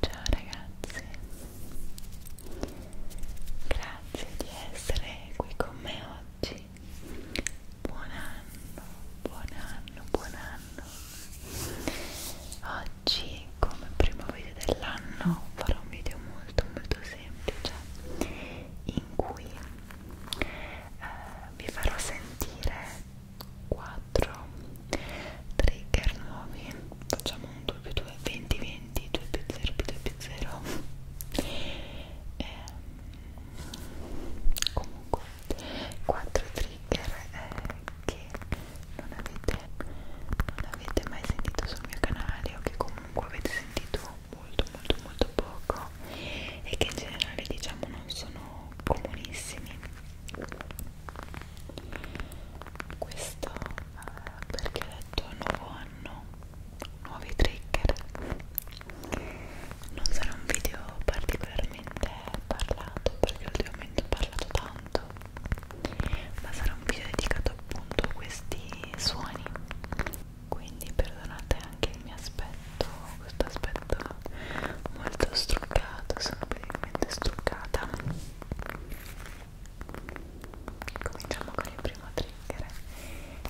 Ciao ragazzi, grazie di essere qui con me oggi. Buon anno, buon anno, buon anno. Oggi, come primo video dell'anno, farò un video molto, molto semplice in cui eh, vi farò sentire 4 trigger nuovi facciamo un 2 più 2 20 20 2 più 0 più 2 più 0 e, ehm, comunque 4 trigger eh, che non avete, non avete mai sentito sul mio canale o che comunque avete sentito molto molto molto poco e che in generale diciamo non sono comunissimi questo eh, perché ho detto nuovo anno nuovi trigger non sarà un video particolarmente parlato perché ultimamente ho parlato tanto ma sarà un video dedicato appunto a questi suoni quindi perdonate anche il mio aspetto, questo aspetto molto struccato, sono praticamente struccata. Cominciamo con il primo trigger,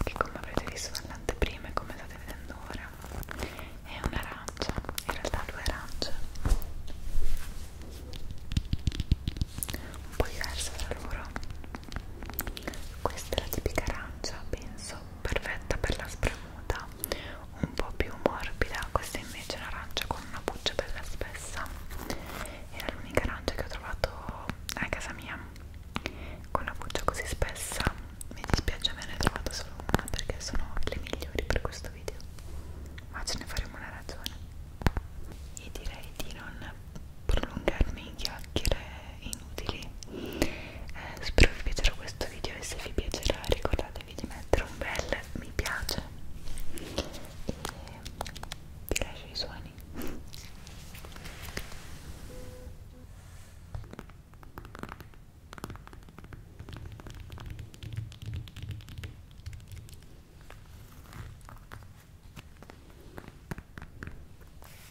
che come avrete visto nell'anteprima e come state vedendo ora, è un'arancia, in realtà due arance, un po' diverse tra loro. Questa è la tipica arancia, penso perfetta per la spra nuda un po' più morbida questa invece è un'arancia con una buccia bella spessa era l'unica arancia che ho trovato a casa mia con la buccia così spessa mi dispiace me ne ho trovato solo una perché sono le migliori per questo video ma ce ne faremo una ragione e direi di non prolungarmi in chiacchiere inutili eh, spero vi piacerà questo video e se vi piacerà ricordatevi di mettere un bel mi piace e vi lascio i suoni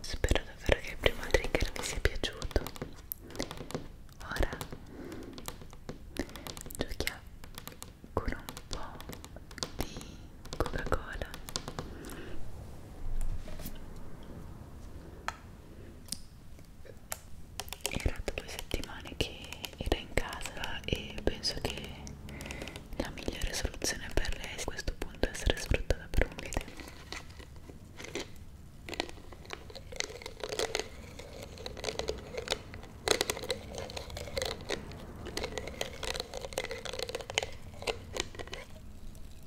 Spero davvero che il primo trigger vi sia piaciuto. Ora giochiamo con un po' di Coca-Cola era da due settimane che era in casa e penso che la migliore soluzione per lei a questo punto è essere sfruttata per un video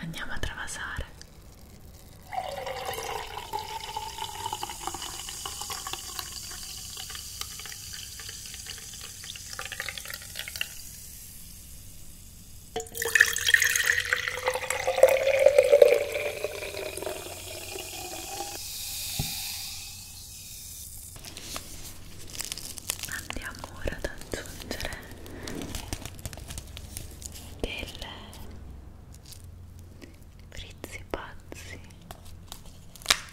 Andiamo a travasare. Andiamo ora ad aggiungere delle frizzi pazzi. Ecco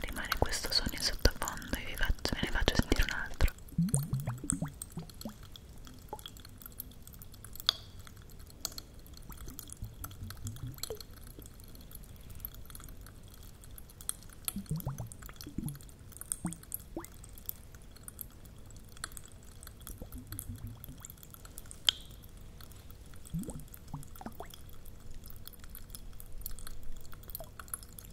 rimane questo sogno in sottofondo e vi faccio, ve ne faccio sentire un altro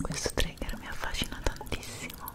Questo trigger mi affascina tantissimo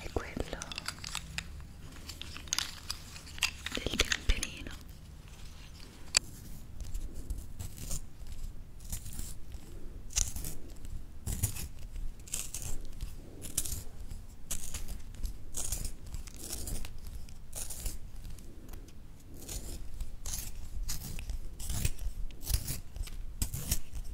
è quello del camperino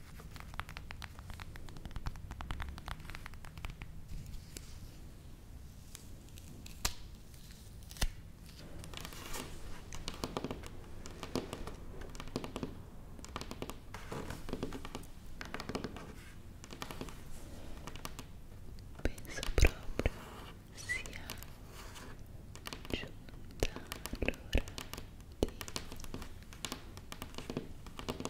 Penso proprio sia giunta l'ora di a passar lelude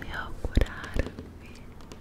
me auguraram-me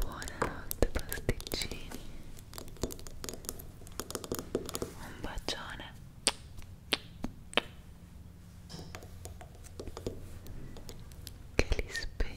buonanotte pasticcini un bacione che li spera